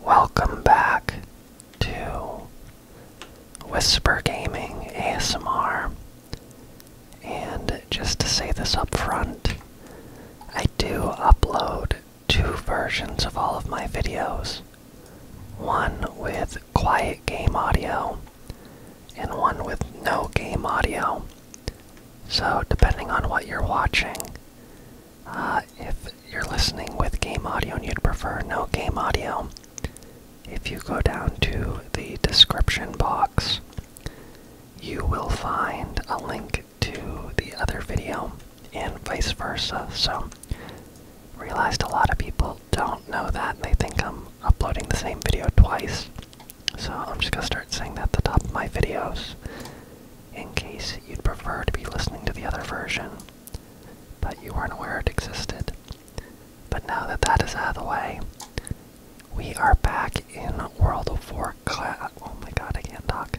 Welcome back to Whisper Gaming ASMR. And just to say this up front, I do upload two versions of all of my videos one with quiet game audio, and one with no game audio. So, depending on what you're watching, uh, if you're listening with game audio and you'd prefer no game audio, if you go down to the description box, you will find a link to the other video and vice versa. So, realized a lot of people don't know that. They think I'm uploading the same video twice. So, I'm just going to start saying that at the top of my videos in case you'd prefer to be listening to the other version, but you weren't aware it existed. But now that that is out of the way, we are back in World of Warcraft. Oh my god, I can't talk.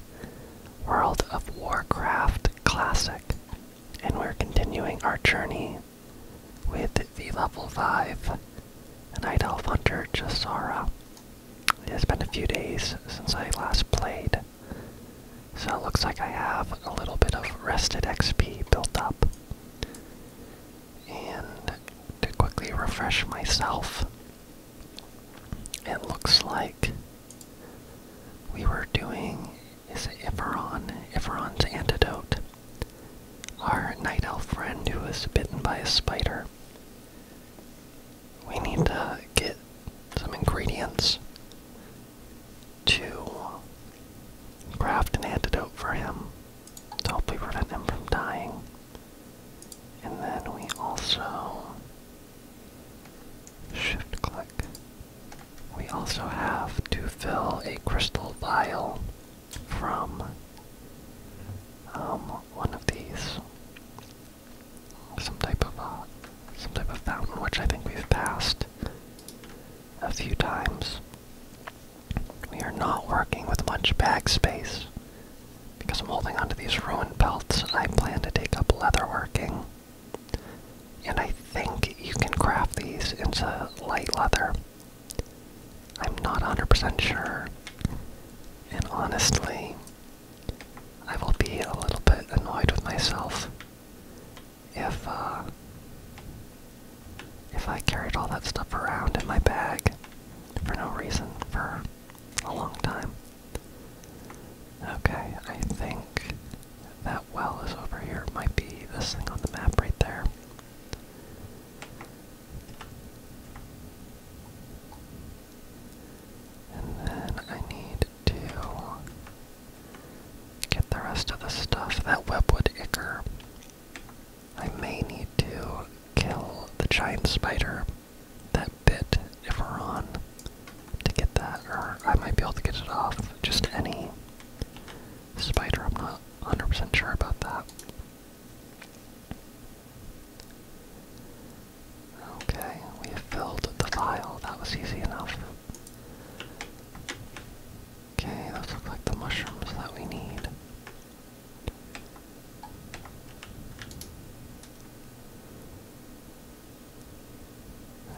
World of Warcraft Classic. And we're continuing our journey with the level 5 Night Elf Hunter Jasara. It has been a few days since I last played, so it looks like I have a little bit of rested XP built up. And to quickly refresh myself, it looks like we were doing is Iferon, Iferon's antidote. Our night elf friend who was bitten by a spider we need to get some ingredients to craft an antidote for him to help prevent him from dying. And then we also shift click. We also have to fill a crystal vial from um, one of these some type of uh, some type of fountain, which I think we've passed a few times. We are not working with much bag space because I'm holding onto these ruined belts. I plan to take up leatherworking, and I think you can craft these into light leather. I'm not 100% sure, and honestly, I will be a little bit annoyed with myself if uh, if I carried all that stuff around in my bag for no reason for a long time. Okay, I think that well is over here. might be this thing on the map right there. And then I need to get the rest of the stuff. That webwood ichor. I may need to kill the giant spider that bit if we're on to get that, or I might be able to get it off. Just any spider, I'm not 100% sure about that. Okay, we filled the vial. That was easy enough. Okay, those look like the mushrooms that we need.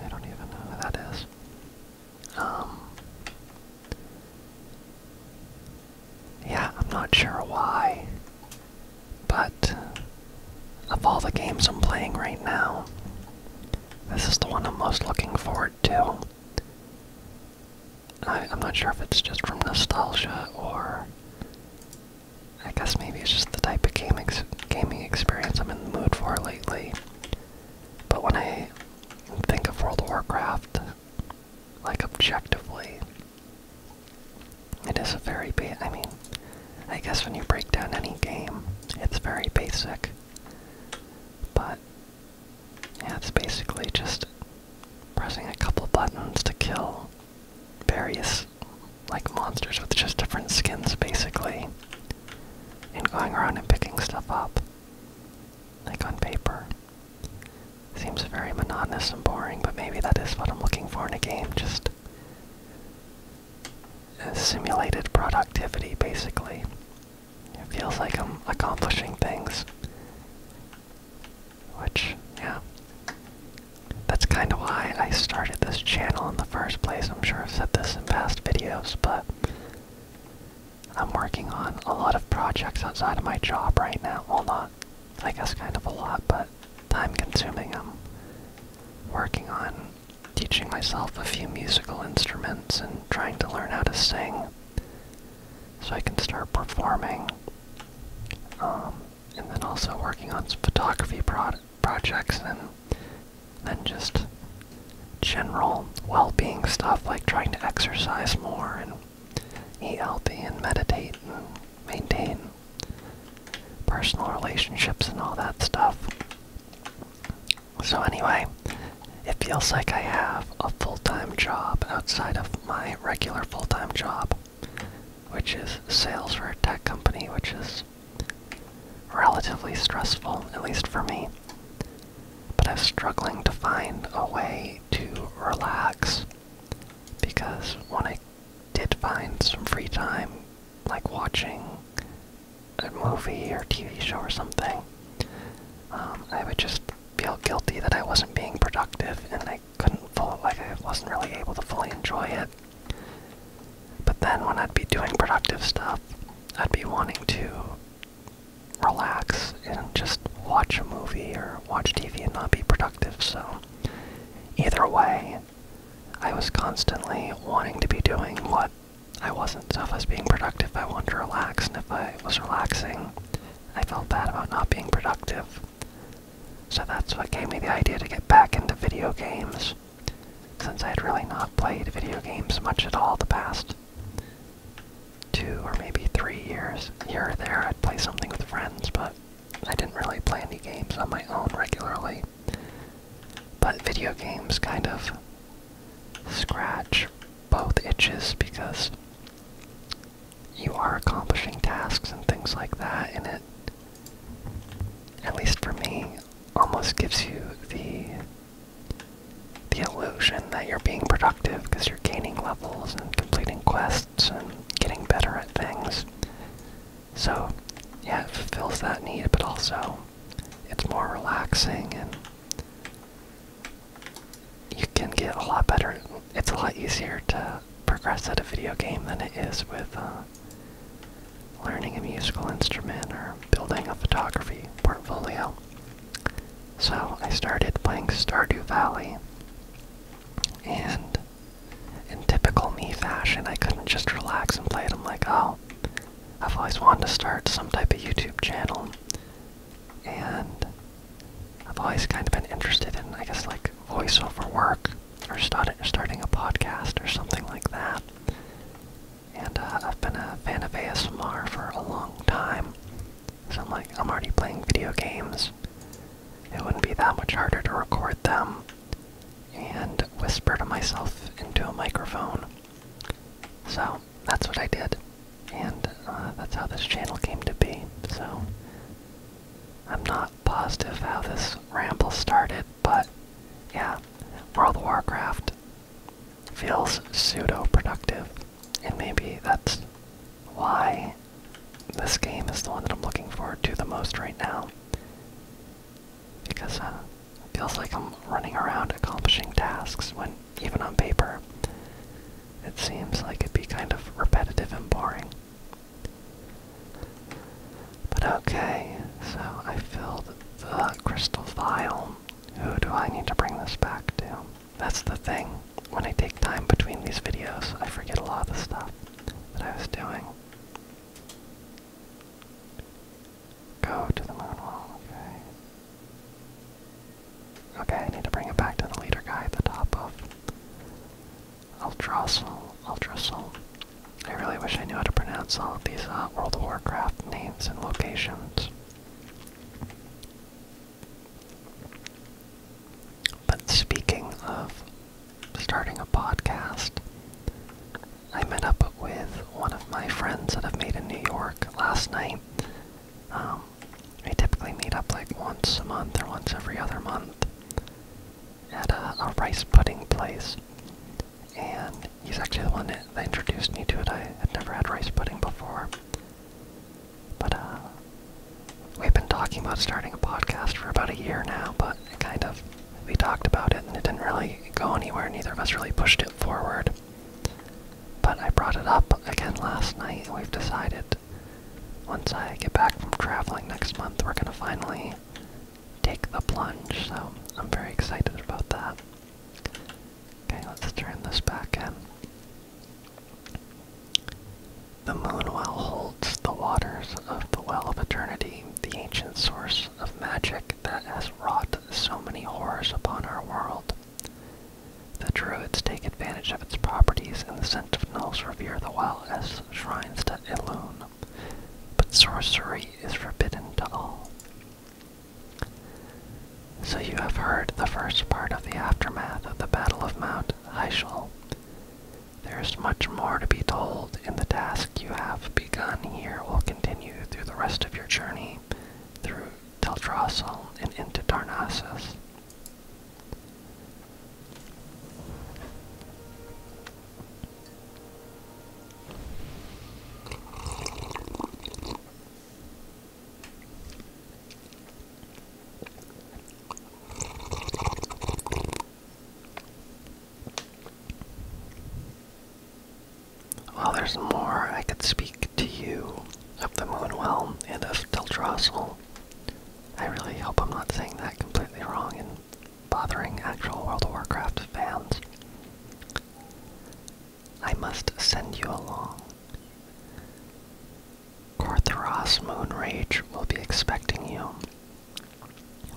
I don't even know who that is. Um. Yeah, I'm not sure why but of all the games I'm playing right now, this is the one I'm most looking forward to. I, am not sure if it's just from nostalgia or. I guess maybe it's just the type of gaming experience I'm in the mood for lately. But when I think of World of Warcraft, like objectively, it is a very ba I mean, I guess when you break down any game, it's very basic. But yeah, it's basically just pressing a couple buttons to kill various like monsters with just different skins basically. And going around and picking stuff up. Like on paper. Seems very monotonous and boring, but maybe that is what I'm looking for in a game. Just simulated productivity, basically. It feels like I'm accomplishing things. Which, yeah. That's kind of why I started this channel in the first place. I'm sure I've said this in past videos, but I'm working on a lot of projects outside of my job right now. Well, not, I guess, kind of a lot, but time consuming. I'm working on teaching myself a few musical instruments and trying to learn how to sing so I can start performing. Um, and then also working on some photography pro projects and then just general well-being stuff like trying to exercise more and eat healthy and meditate and maintain personal relationships and all that stuff. So, anyway, it feels like I have a full time job outside of my regular full time job, which is sales for a tech company, which is relatively stressful, at least for me. But I'm struggling to find a way to relax because when I did find some free time, like watching a movie or TV show or something, um, I would just feel guilty that I wasn't being productive and I couldn't full like I wasn't really able to fully enjoy it. But then when I'd be doing productive stuff, I'd be wanting to relax and just watch a movie or watch TV and not be productive. So either way, I was constantly wanting to be doing what I wasn't. So if I was being productive, I wanted to relax, and if I was relaxing, I felt bad about not being productive. So that's what gave me the idea to get back into video games, since I had really not played video games much at all the past two or maybe three years. Here or there, I'd play something with friends, but I didn't really play any games on my own regularly. But video games kind of scratch both itches because you are accomplishing tasks and things like that, and it, at least for me, almost gives you the the illusion that you're being productive because you're gaining levels and completing quests and getting better at things. So, yeah, it fulfills that need, but also it's more relaxing and you can get a lot better. It's a lot easier to progress at a video game than it is with uh, learning a musical instrument or building a photography portfolio. So I started playing Stardew Valley and in typical me fashion, I couldn't just relax and play it. I'm like, oh, I've always wanted to start some type of YouTube channel. And I've always kind of been interested in, I guess, like voiceover work or start, starting a podcast or something like that. And uh, I've been a fan of ASMR for a long time. So I'm like, I'm already playing video games. It wouldn't be that much harder to record them and whisper to myself into a microphone. So that's what I did, and uh, that's how this channel came to be. So I'm not positive how this ramble started, but yeah, World of Warcraft feels pseudo productive, and maybe that's why this game is the one that I'm looking forward to the most right now because uh, it feels like I'm running around accomplishing tasks when, even on paper, it seems like it'd be kind of repetitive and boring. But okay, so I filled the crystal vial. Who do I need to bring this back to? That's the thing. When I take time between these videos, I forget a lot of the stuff that I was doing. Go to the moon okay. Okay, I need to bring it back to the leader guy at the top of Ultrasol, Ultrasol. I really wish I knew how to pronounce all of these uh, World of Warcraft names and locations. But speaking of starting a podcast, I met up with one of my friends that I've made in New York last night. Um, we typically meet up like once a month or once every other month at a, rice pudding place. And he's actually the one that, introduced me to it. I had never had rice pudding before. But uh, we've been talking about starting a podcast for about a year now, but it kind of we talked about it and it didn't really go anywhere. Neither of us really pushed it forward. But I brought it up again last night, and we've decided once I get back from traveling next month, we're going to finally take the plunge. So I'm very excited about that. Okay, let's turn this back in. The moon well holds the waters of the well of eternity, the ancient source of magic that has wrought so many horrors upon our world. The Druids take advantage of its properties, and the Sentinels revere the well as shrines to Elune, but sorcery is forbidden to all. So you have heard the first part of the aftermath of the Battle of Mount Heishel. There is much more to be told, in the task you have begun here continue through the rest of your journey through Teldrassil and into Darnassus. While there's more, I could speak to you of the Moonwell and of Teldrassil. I really hope I'm not saying that completely wrong and bothering actual World of Warcraft fans. I must send you along. Korthoros Moonrage will be expecting you.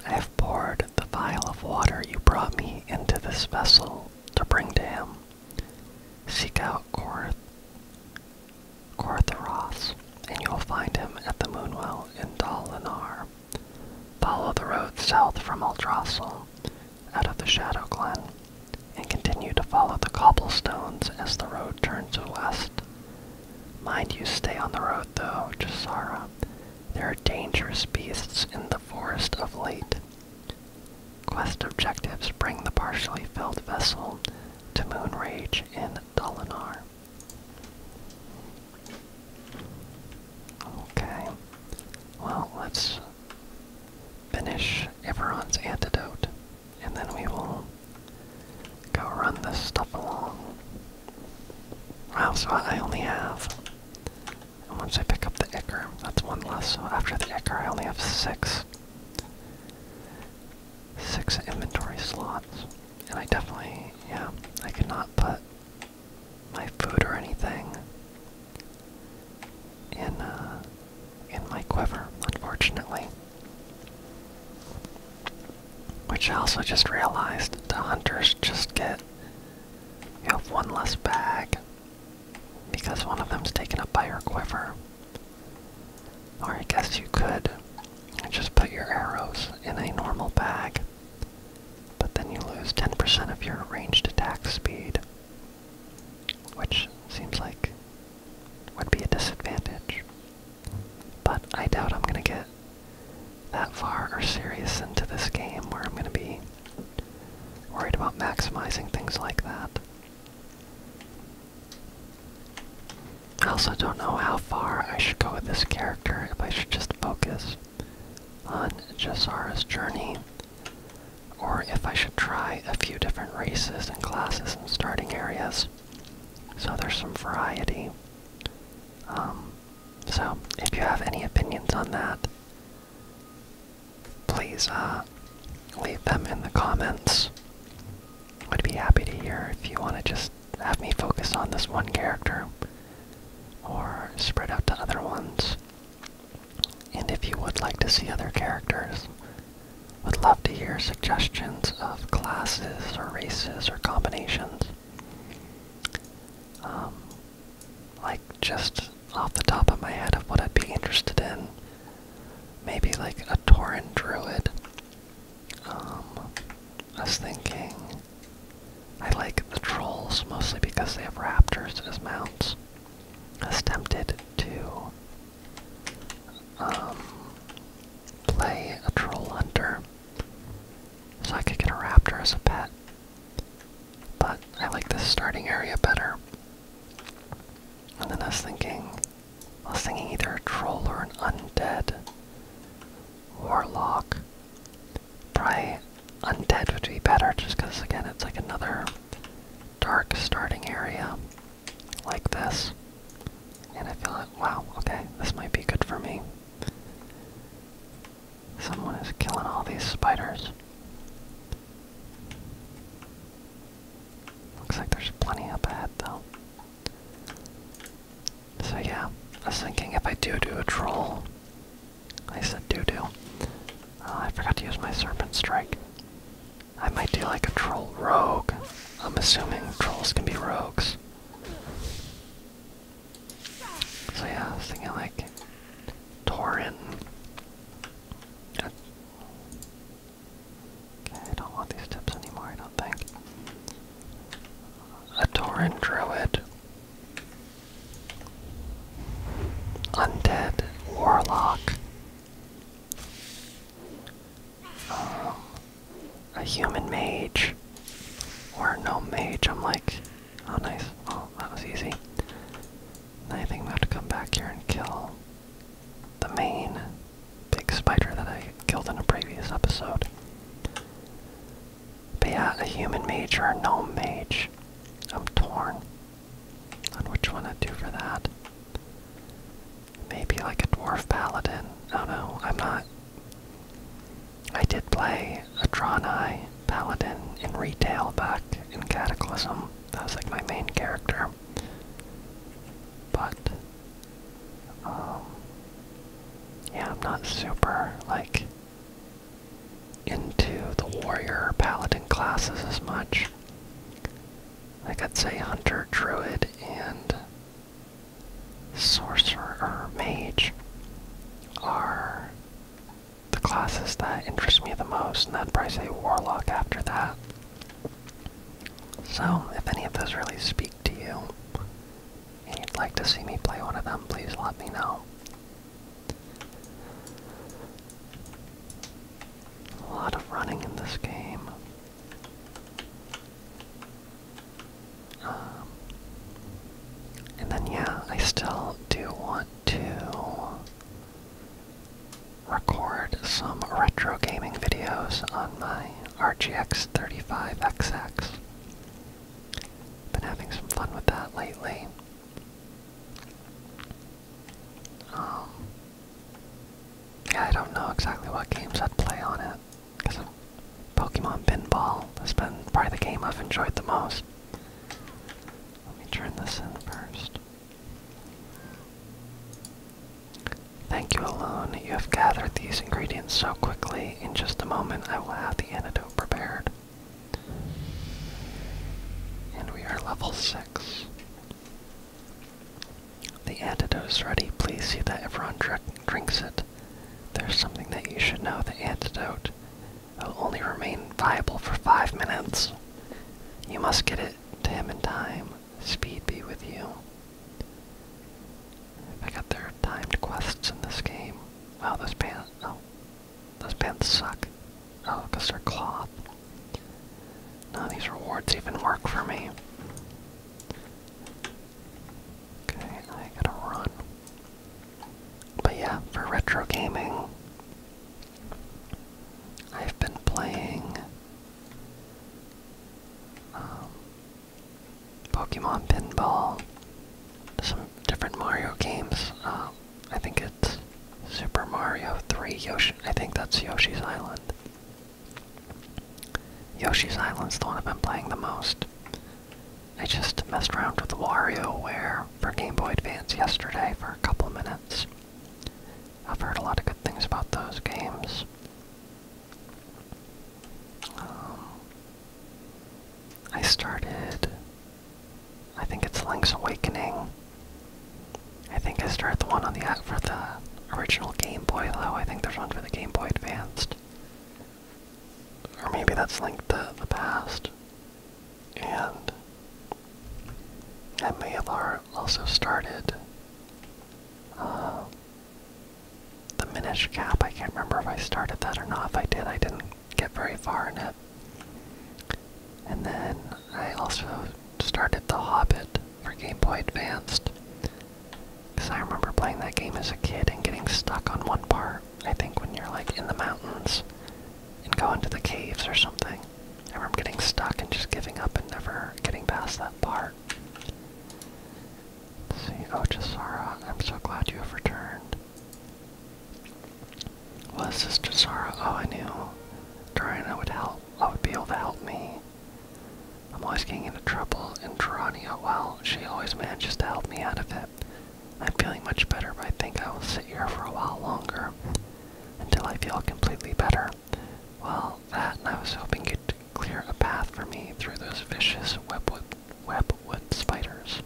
I have poured the vial of water you brought me into this vessel to bring to him. Seek out Korth, Kortharos, and you will find him at the Moonwell in Talinar. Follow the road south from Aldrassil, out of the Shadow Glen, and continue to follow the cobblestones as the road turns west. Mind you stay on the road, though, Jasara. There are dangerous beasts in the forest of late. Quest objectives bring the partially filled vessel to Moonrage in Dalinar. Okay. Well, let's finish Everon's antidote, and then we will go run this stuff along. Wow, so I only have and once I pick up the Icar, that's one less. So after the Icar, I only have six. Six inventory slots. And I definitely, yeah, I cannot put my food or anything in, uh, in my quiver, unfortunately. Which I also just realized the hunters just get you have one less bag because one of them's taken up by your quiver. Or I guess you could just put your arrows in a normal bag, but then you lose 10% of your ranged attack speed, which seems like would be a disadvantage. But I doubt I'm gonna get that far or serious into this game where I'm going to be worried about maximizing things like that. I also don't know how far I should go with this character, if I should just focus on Jasara's journey, or if I should try a few different races and classes and starting areas, so there's some variety. Um, so, if you have any opinions on that, please uh, leave them in the comments. I'd be happy to hear if you want to just have me focus on this one character or spread out to other ones. And if you would like to see other characters, would love to hear suggestions of classes or races or combinations. Um, like just off the top of my head of what I'd be interested in. Maybe like a Tauren Druid. Um, I was thinking I like the trolls mostly because they have raptors as mounts. I was tempted to um, play a troll hunter so I could get a raptor as a pet but I like this starting area better. And then I was thinking, I was thinking either a troll or an undead warlock. Probably undead would be better, just because again it's like another dark starting area like this. And I feel like, wow, okay, this might be good for me. Someone is killing all these spiders. Looks like there's plenty up ahead though. So yeah, I was thinking if I do do a troll, I said do do. Uh, I forgot to use my serpent strike. I might do like a troll rogue. I'm assuming trolls can be rogues. So yeah, I was thinking like Torin. Okay, I don't want these tips anymore, I don't think. A Torin Druid. Undead Warlock. Um, a human mage. Or no mage, I'm like Oh, nice. Oh, that was easy. I think i have to come back here and kill the main big spider that I killed in a previous episode. Be a human mage or a gnome mage. I'm torn on which one i do for that. Maybe like a dwarf paladin. No, no, I'm not. I did play Adrani paladin in retail back in Cataclysm. That was like my main character. But um, yeah, I'm not super like into the warrior paladin classes as much. i could say hunter, druid, and sorcerer mage are the classes that interest me the most, and that probably say Warlock after that. So, if any of those really speak to you, and you'd like to see me play one of them, please let me know. A lot of running in this game. Um, and then, yeah, I still do want to record some retro gaming videos on my RGX 35XX. Been having some fun with that lately. Um, yeah, I don't know exactly what games I'd play on it. Pokemon Pinball has been probably the game I've enjoyed the most. Let me turn this in first. Thank you, Alone. You have gathered these ingredients so quickly. In just a moment, I will have the antidote prepared. And we are level 6. The antidote is ready. Please see that everyone drinks it. There's something that you should know. The antidote it will only remain viable for five minutes. You must get it to him in time. Speed be with you. I got their timed quests in this game. Wow, those pants. Oh. Those pants suck. Oh, because they're cloth. None of these rewards even work for me. Okay, I gotta run. But yeah, for retro gaming, I've been playing um, Pokemon Pinball, some different Mario games. Um, I think it's Super Mario 3 Yoshi. I think that's Yoshi's Island. Yoshi's Island's the one I've been playing the most. I just messed around with WarioWare for Game Boy Advance yesterday for a couple minutes. I've heard a lot of good things about those games. Um, I started. I think it's Link's Awakening. I think I started the one on the uh, for the original Game Boy though. I think there's one for the Game Boy Advanced. Or maybe that's linked to the past. And I may have also started uh, the Minish Cap. I can't remember if I started that or not. If I did, I didn't get very far in it. And then I also started The Hobbit for Game Boy Advanced. Because I remember playing that game as a kid and getting stuck on one part. I think when you're like in the mountains and go into the caves or something. I remember getting stuck and just giving up and never getting past that part. see, oh Chisara, I'm so glad you have returned. Was this Chisara? Oh, I knew Dorina would help. I would be able to help me. I'm always getting into trouble, and Tarania, well, she always manages to help me out of it. I'm feeling much better, but I think I will sit here for a while longer until I feel completely better. Well, that I was hoping you clear a path for me through those vicious webwood, webwood spiders.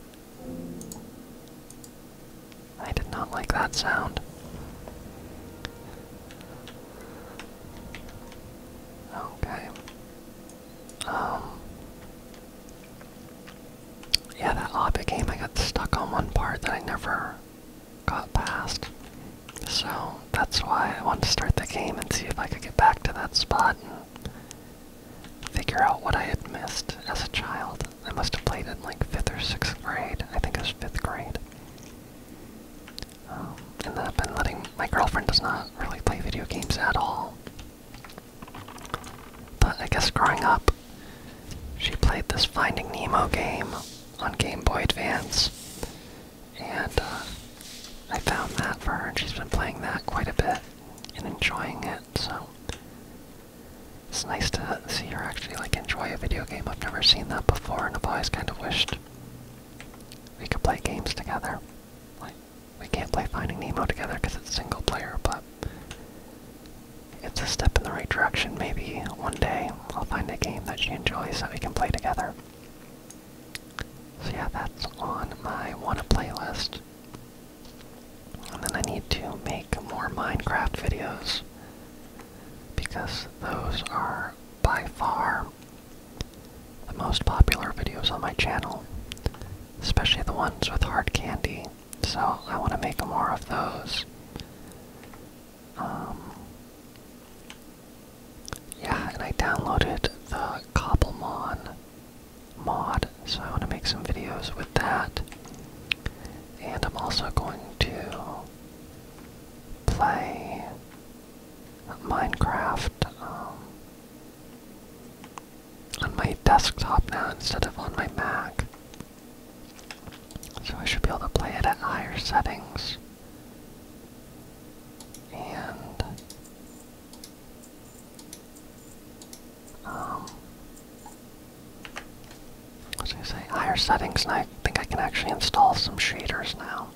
I did not like that sound. Okay. Um yeah, that lobby game, I got stuck on one part that I never got past. So that's why I want to start the game and see if I could get back to that spot and figure out what I had missed as a child. I must have played it like 5th or 6th grade. I think it was 5th grade. Um, and I've been letting, my girlfriend does not really play video games at all. But I guess growing up, she played this Finding Nemo game on Game Boy Advance, and uh, I found that for her, and she's been playing that quite a bit and enjoying it. So it's nice to see her actually like enjoy a video game. I've never seen that before, and I've always kind of wished we could play games together. Like we can't play Finding Nemo together because it's single player, but it's a step in the right direction. Maybe one day I'll find a game that she enjoys that we can play together. So yeah, that's on my wanna playlist. And then I need to make more Minecraft videos because those are by far the most popular videos on my channel, especially the ones with hard candy. So I want to make more of those. Um, yeah, and I downloaded the Cobblemon mod, so I want to make some videos with that. And I'm also going to play Minecraft um, on my desktop now instead of on my Mac. So I should be able to play it at higher settings. And um I was gonna say higher settings and I think I can actually install some shaders now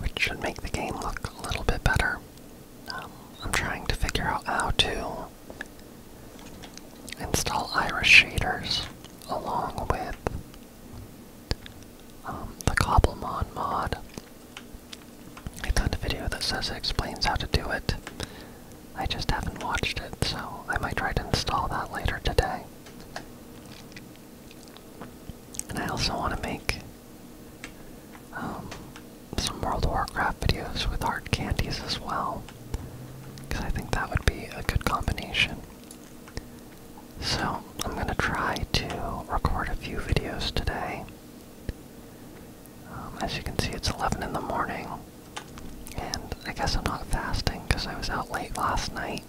which should make the game look a little bit better. Um, I'm trying to figure out how to install iris shaders along with um, the Cobblemon mod. I found a video that says explains how to do it. I just haven't watched it, so I might try to install that later today. And I also want to make um, some World of Warcraft videos with hard candies as well, because I think that would be a good combination. So, I'm going to try to record a few videos today. Um, as you can see, it's 11 in the morning, and I guess I'm not fasting because I was out late last night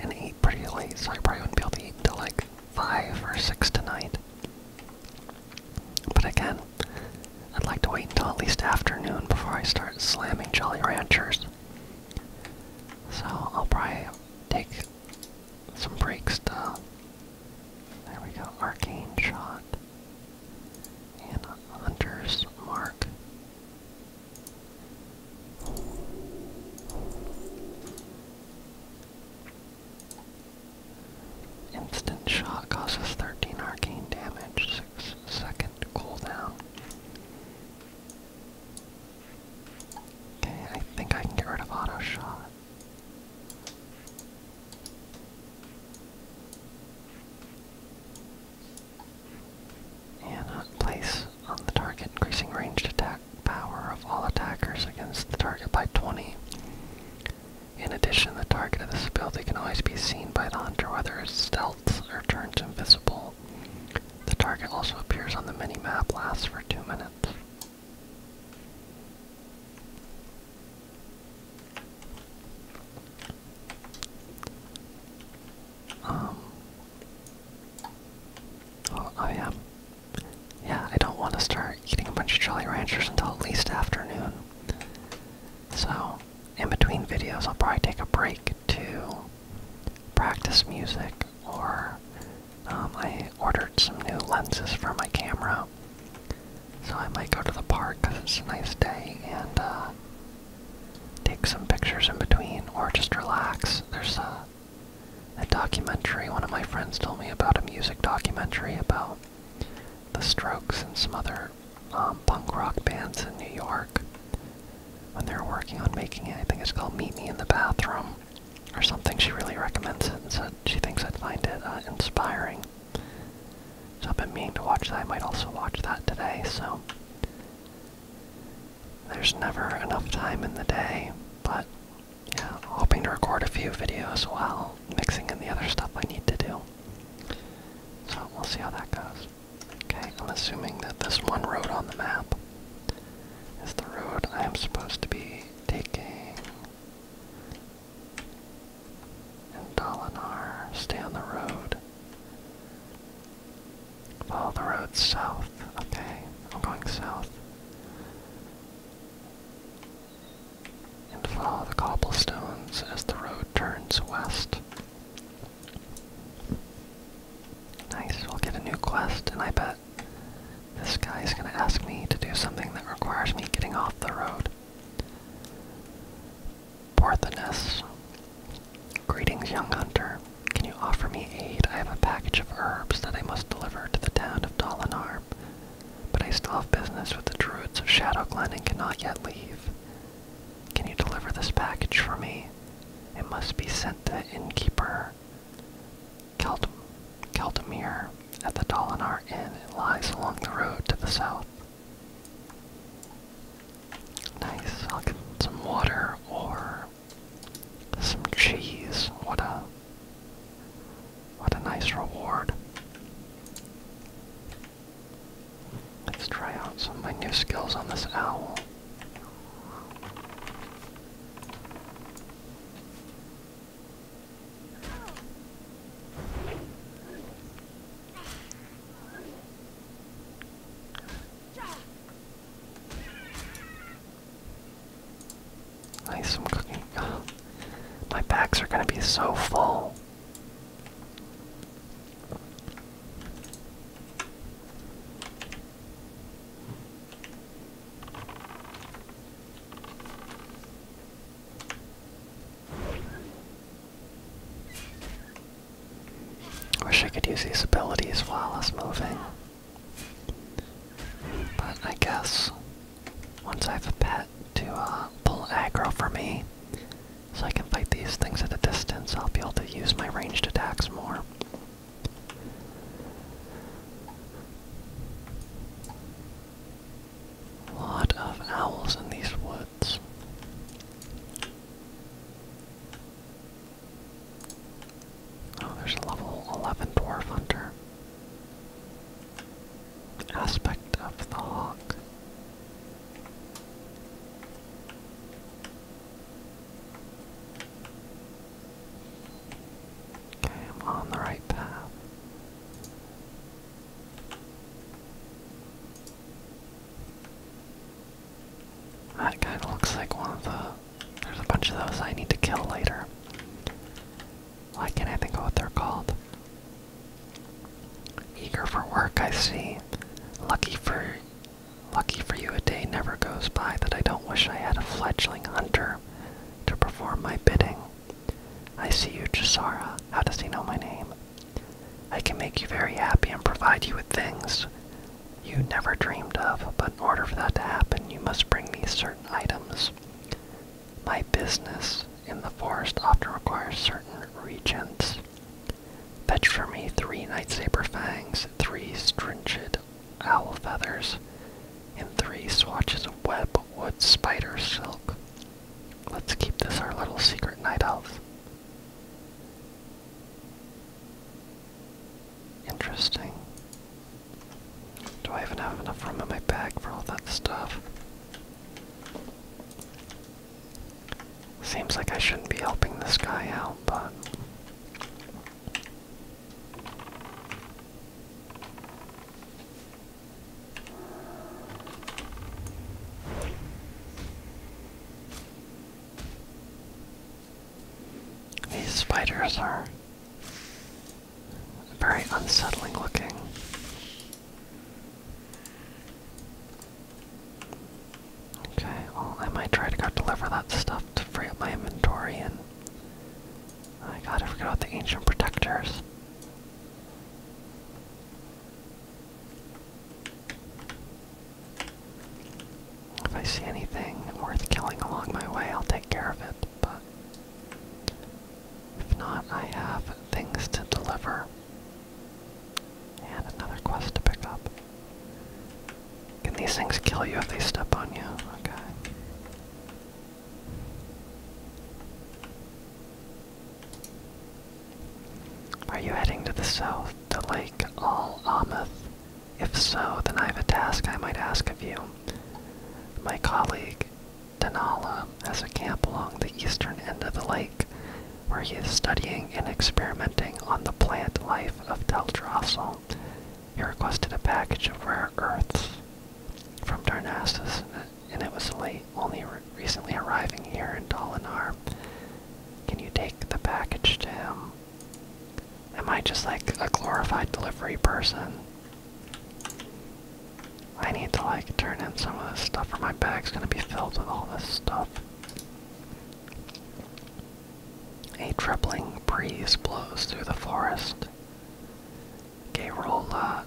and ate pretty late, so I probably wouldn't be able to eat until like five or six tonight. But again, I'd like to wait until at least afternoon before I start slamming Jolly Ranchers. So I'll probably take some breaks to. There we go, Arcane Shot. And Hunter's Mark. Instant shot causes 13 arcane damage, 6 second cooldown. Okay, I think I can get rid of auto shot. And place on the target, increasing ranged attack power of all attackers against the target by 20. In addition, the target of this ability can always be seen by the hunter whether it's stealth or turned invisible. The target also appears on the mini-map, lasts for 2 minutes. Um, oh, oh yeah, yeah, I don't want to start eating a bunch of Jolly Ranchers until at least afternoon. So, in between videos, I'll probably take a break to practice music, or um, I ordered some new lenses for my camera. So I might go to the park because it's a nice day and uh, take some pictures in between, or just relax. There's a a documentary one of my friends told me about a music documentary about the Strokes and some other um, punk rock bands in New York when they were working on making it. I think it's called Meet Me in the Bathroom or something. She really recommends it and said she thinks I'd find it uh, inspiring. So I've been meaning to watch that. I might also watch that today, so there's never enough time in the day, but yeah, hoping to record a few videos while mixing in the other stuff I need to do. So we'll see how that goes. Okay, I'm assuming that this one road on the map is the road I am supposed to be taking. And Dalinar, stay on the road. Follow the road south. Okay, I'm going south and follow the cobblestones as the road turns west. Nice, we'll get a new quest, and I bet this guy is going to ask me to do something that requires me getting off the road. Porthinus. Greetings, young hunter. Can you offer me aid? I have a package of herbs that I must deliver to the town of Dolinar but I still have business with the druids of Shadow Glen and cannot yet leave. Can you deliver this package for me? It must be sent to innkeeper Keld Keldemir at the Dolinar Inn. It lies along the road to the south. Nice. some water or some cheese. What a what a nice reward. Let's try out some of my new skills on this owl. Nice, some cooking. My bags are gonna be so full. Wish I could use these abilities while I am moving. But I guess once I have a pet to uh, pull aggro for me, so I can fight these things at a distance, I'll be able to use my ranged attacks more. lot of owls in these woods. Oh, there's a level 11 dwarf hunter aspect of the hawk. Okay, I'm on the right path. That kind of looks like one of the. There's a bunch of those I need to kill later. Why can't I think of what they're called? Eager for work, I see. Lucky for lucky for you a day never goes by that I don't wish I had a fledgling hunter to perform my bidding. I see you, Chisara. How does he know my name? I can make you very happy and provide you with things you never dreamed of, but in order for that to happen, you must bring me certain items. My business in the forest often requires certain regents. Fetch for me three night saber fangs, three stringed owl feathers, and three swatches of webwood spider silk. Let's keep this our little secret night elf. Interesting. Do I even have enough room in my bag for all that stuff? Seems like I shouldn't be helping this guy out, but. These spiders are very unsettling looking. Okay, well, I might try to go deliver that stuff to free up my inventory and. I gotta I forgot about the ancient protectors. If I see anything worth killing along my way, I'll take care of it but if not, I have things to deliver and another quest to pick up. Can these things kill you if they step on you? Okay. Are you heading to the south, to Lake Al Amath? If so, then I have a task I might ask of you. My colleague Denala has a camp along the eastern end of the lake, where he is studying and experimenting on the plant life of Teldrassil. He requested a package of rare earths from Darnassus, and it was only recently arriving here in Dalinar. Can you take the package to him? Am I just like a glorified delivery person? I need to like turn in some of this stuff or my bag's gonna be filled with all this stuff. A tripling breeze blows through the forest. Garola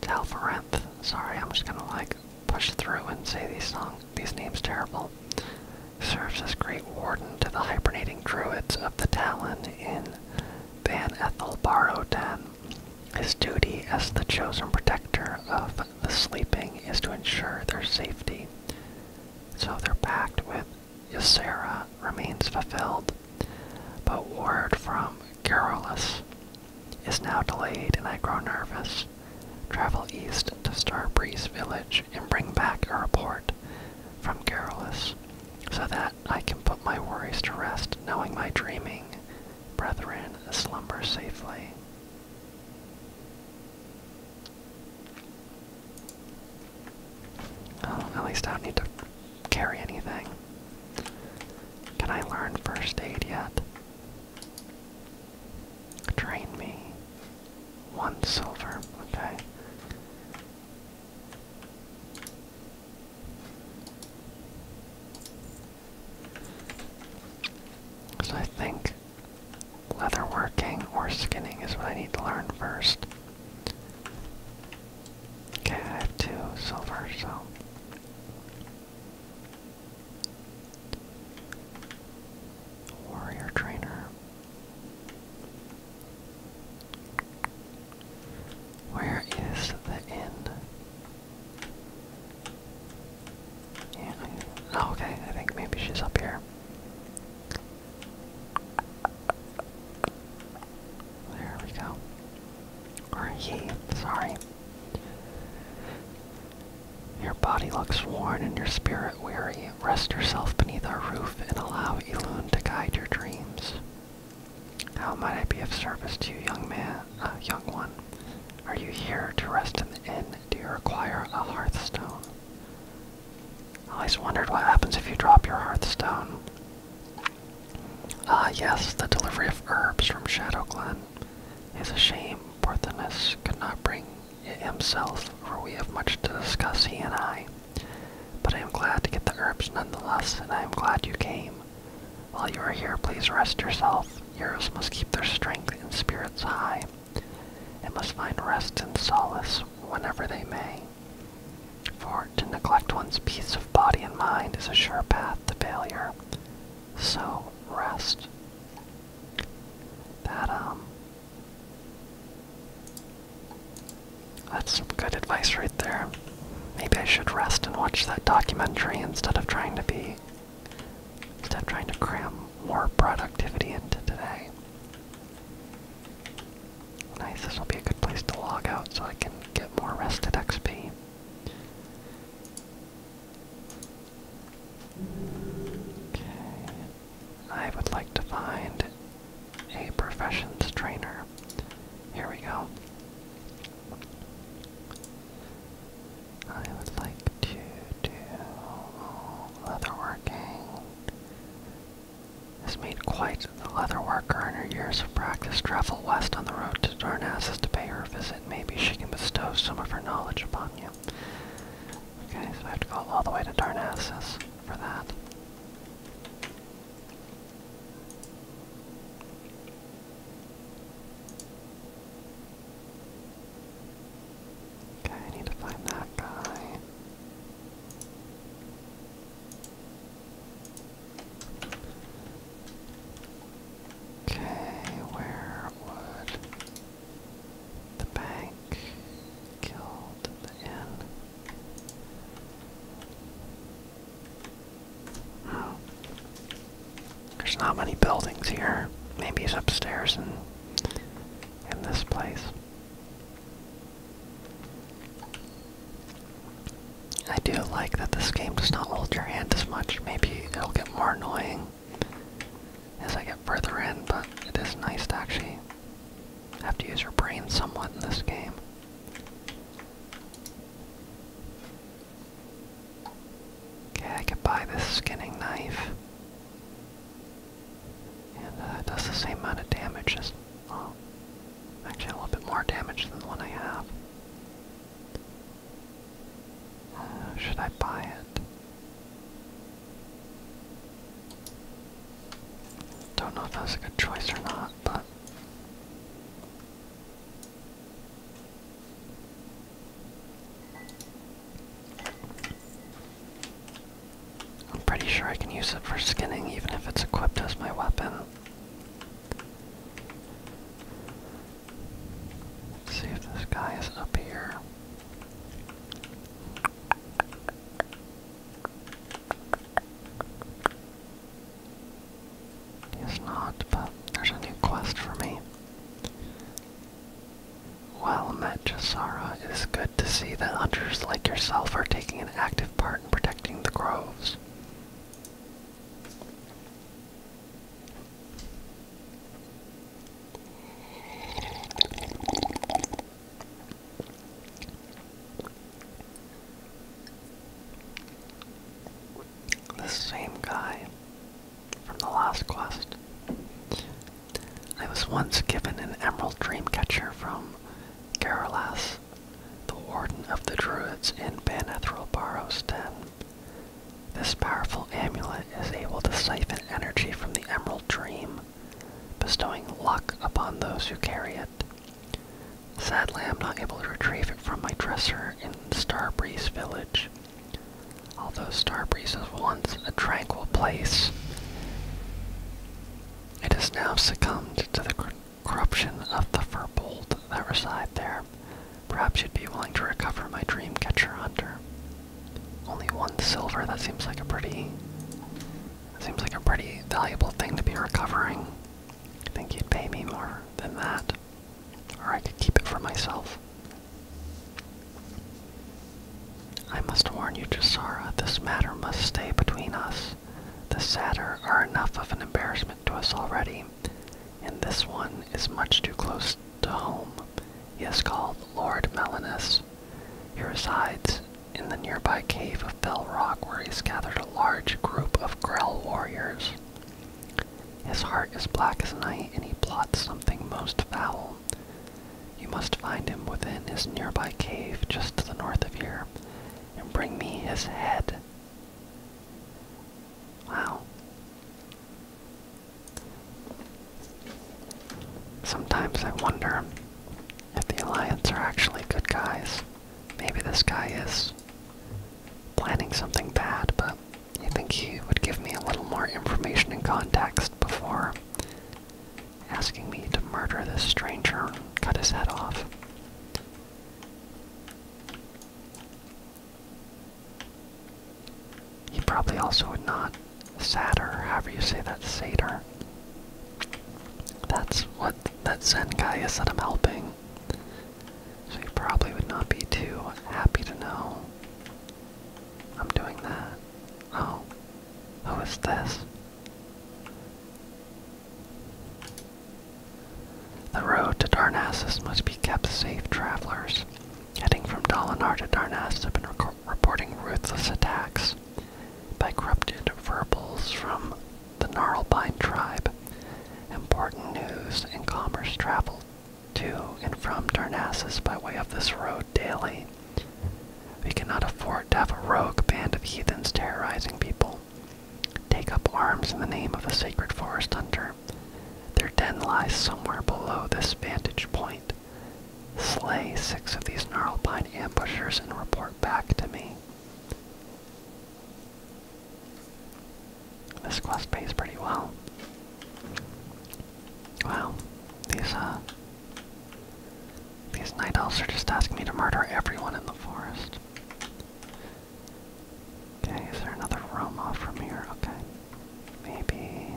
Talvarenth. Uh, Sorry, I'm just gonna like push through and say these songs. these names terrible. Serves as great warden to the hibernating druids of the Talon in Van Barrowden. His duty as the chosen protector of the sleeping is to ensure their safety. So their pact with Ysera remains fulfilled, but word from Garrulus is now delayed and I grow nervous. Travel east to Starbreeze Village and bring back a report from Garrulus so that I can put my worries to rest knowing my dreaming Brethren, slumber safely. Uh, at least I don't need to carry anything. Can I learn first aid yet? Train me. One silver, okay. So I think leatherworking or skinning is what I need to learn first. Okay, I have two silver, so. Warrior trainer. Where is the end? Yeah. Oh, okay, I think maybe she's up here. There we go. Or he, sorry. Your body looks worn and your spirit weary. Rest yourself beneath our roof and allow Ilune to guide your dreams. How might I be of service to you, young man, uh, young one? Are you here to rest in the inn? Do you require a hearthstone? I always wondered what happens if you drop your hearthstone. Ah, yes, the delivery of herbs from Shadow Glen. It's a shame Porthenus could not bring it himself, for we have much to discuss, he and I. But I am glad to get the herbs nonetheless, and I am glad you came. While you are here, please rest yourself. Heroes must keep their strength and spirits high, and must find rest and solace whenever they may. For to neglect one's peace of body and mind is a sure path to failure. So rest. That um, that's some good advice right there. Maybe I should rest and watch that documentary instead of trying to be instead of trying to cram more productivity into today. Nice, this will be a good place to log out so I can get more rested XP. Okay. I would like to find a professions trainer. Here we go. I would like to do leatherworking. This made quite the leatherworker in her years of practice. Travel west on the road to Darnassus to pay her a visit. Maybe she can bestow some of her knowledge upon you. Okay, so I have to go all the way to Darnassus for that. Okay, I need to find that guy. Okay, where would the bank killed the inn? Oh. There's not many buildings here. Maybe it's upstairs in, in this place. I do like that this game does not hold your hand as much. Maybe it'll get more annoying as I get further in, but it is nice to actually have to use your brain somewhat in this game. Okay, I could buy this skinning knife. And uh, it does the same amount of damage as, actually a little bit more damage than the one I have. Uh, should I buy it? Don't know if that's a good choice or not, but I'm pretty sure I can use it for skinning even if it's equipped as my weapon. see if this guy is up here. He is not, but there's a new quest for me. Well met, Jasara. It is good to see that hunters like yourself are taking an active part in protecting the groves the same guy from the last quest. I was once given an emerald dreamcatcher from Garalas, the warden of the druids in Banethril Barrow's den. This powerful amulet is able to siphon energy from the emerald dream, bestowing luck upon those who carry it. Sadly, I'm not able to retrieve it from my dresser here in Starbreeze Village. Although Starbreeze was once a tranquil place, it has now succumbed to the corruption of the Furbold that reside there. Perhaps you'd be willing to recover my Dreamcatcher Hunter. Only one silver, that seems like a pretty... That seems like a pretty valuable thing to be recovering. I think you'd pay me more than that or I could keep it for myself. I must warn you, Jasara, this matter must stay between us. The Satyr are enough of an embarrassment to us already, and this one is much too close to home. He is called Lord Melanus. He resides in the nearby cave of Bell Rock, where he has gathered a large group of Grell warriors. His heart is black as night, and he plots something most foul. You must find him within his nearby cave just to the north of here, and bring me his head. Wow. Sometimes I wonder if the Alliance are actually good guys. Maybe this guy is planning something bad, but you think he would give me a little more information and context before asking me to murder this stranger and cut his head off? He probably also would not satyr, however you say that, satyr. That's what that Zen guy is that I'm helping. So you probably would not be too happy to know I'm doing that. Oh, who is this? The road to Darnassus must be kept safe, travelers. Heading from Dalinar to Darnassus have been reporting ruthless attacks by corrupted verbals from the Gnarlbine tribe. Important news in commerce travel to and from Darnassus by way of this road daily. We cannot afford to have a rogue band of heathens terrorizing people. Take up arms in the name of the sacred forest hunter. Their den lies somewhere below this vantage point. Slay six of these gnarled pine ambushers and report back to me. This quest pays pretty well. Wow, these uh these night elves are just asking me to murder everyone in the forest. Okay, is there another room off from here? Okay. Maybe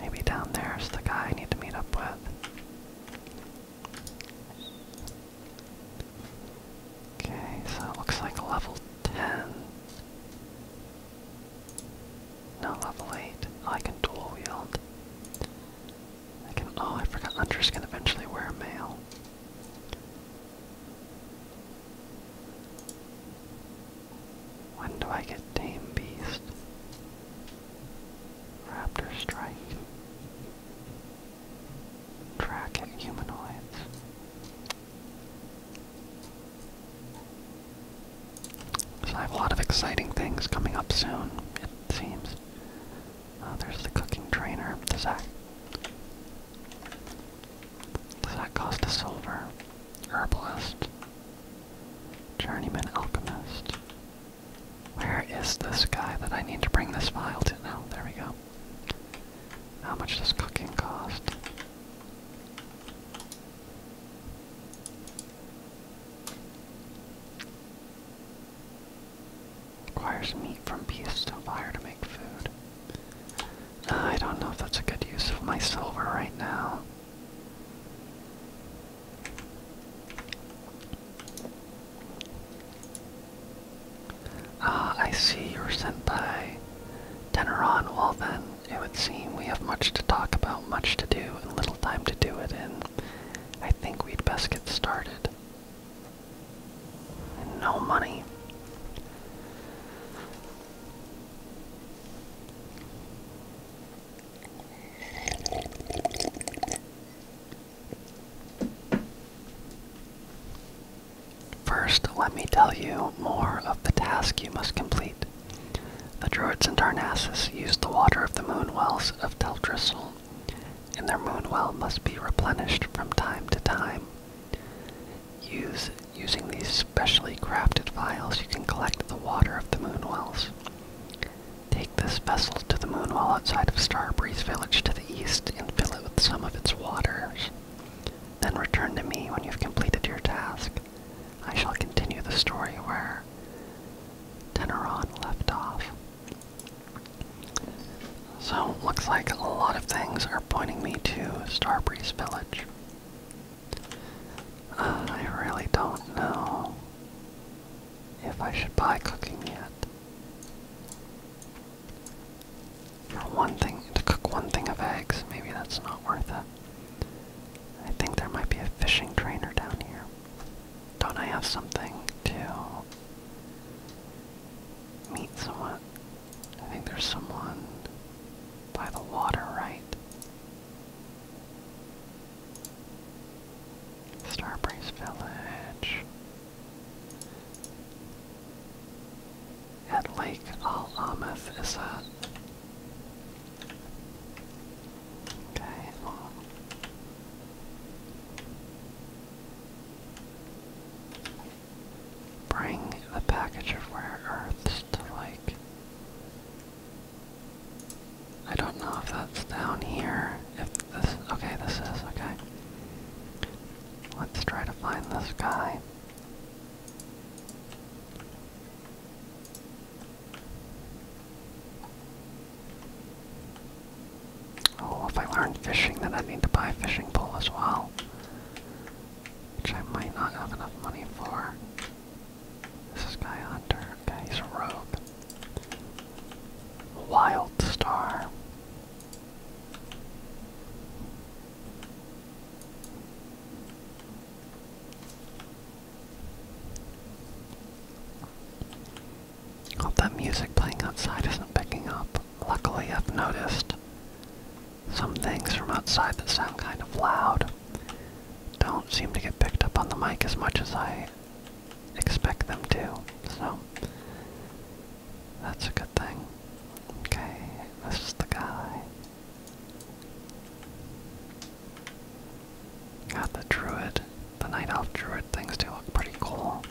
maybe down there's the guy I need to meet up with. Okay, so it looks like level 10. No, level 8. I can dual wield. I can, oh, I forgot Hunter's can eventually wear mail. When do I get tame Beast? Raptor Strike. Track humanoids. So I have a lot of exciting things coming up soon, it seems. Uh, there's the cooking trainer. Does that does that cost a silver? Herbalist. Journeyman alchemist. Where is this guy that I need to bring this file to now? There we go. How much does cooking cost? Requires meat from beasts to fire to make food. Ah, I don't know if that's a good use of my silver right now. Ah, I see you're sent by Deneron. Well then, it would seem we have much to talk about, much to do, and little time to do it in. I think we'd best get started. No money. First, let me tell you more of the task you must complete. The Druids in Darnassus used the water of the moon wells of Teldrassil, and their moon well must be replenished from time to time. using these specially crafted vials, you can collect the water of the moon wells. Take this vessel to the moon well outside of Starbreeze Village to the east and fill it with some of its waters. Then return to me when you've completed your task. I shall continue the story where Teneron left off. So, looks like a lot of things are pointing me to Starbreeze Village. Uh, I really don't know if I should buy cooking yet or one thing to cook one thing of eggs. Maybe that's not worth it. I think there might be a fishing trainer down here. Don't I have something to meet someone? I think there's someone by the water, right? Starbreeze Village at Lake Al Amath is that? Okay, Bring the package of rare earths to like. I don't know if that's down here. If this. Okay, this is. Okay. Let's try to find this guy. Oh, if I learn fishing, then I need to buy a fishing pole as well. Which I might not have enough money for. This is Guy Hunter. Okay, he's a rogue. Wild Star. Hope that music playing outside isn't picking up. Luckily, I've noticed some things from outside that sound kind of loud don't seem to get picked up on the mic as much as I expect them to, so that's a good thing. Okay, this is the guy. Got the druid, the night elf druid things do look pretty cool.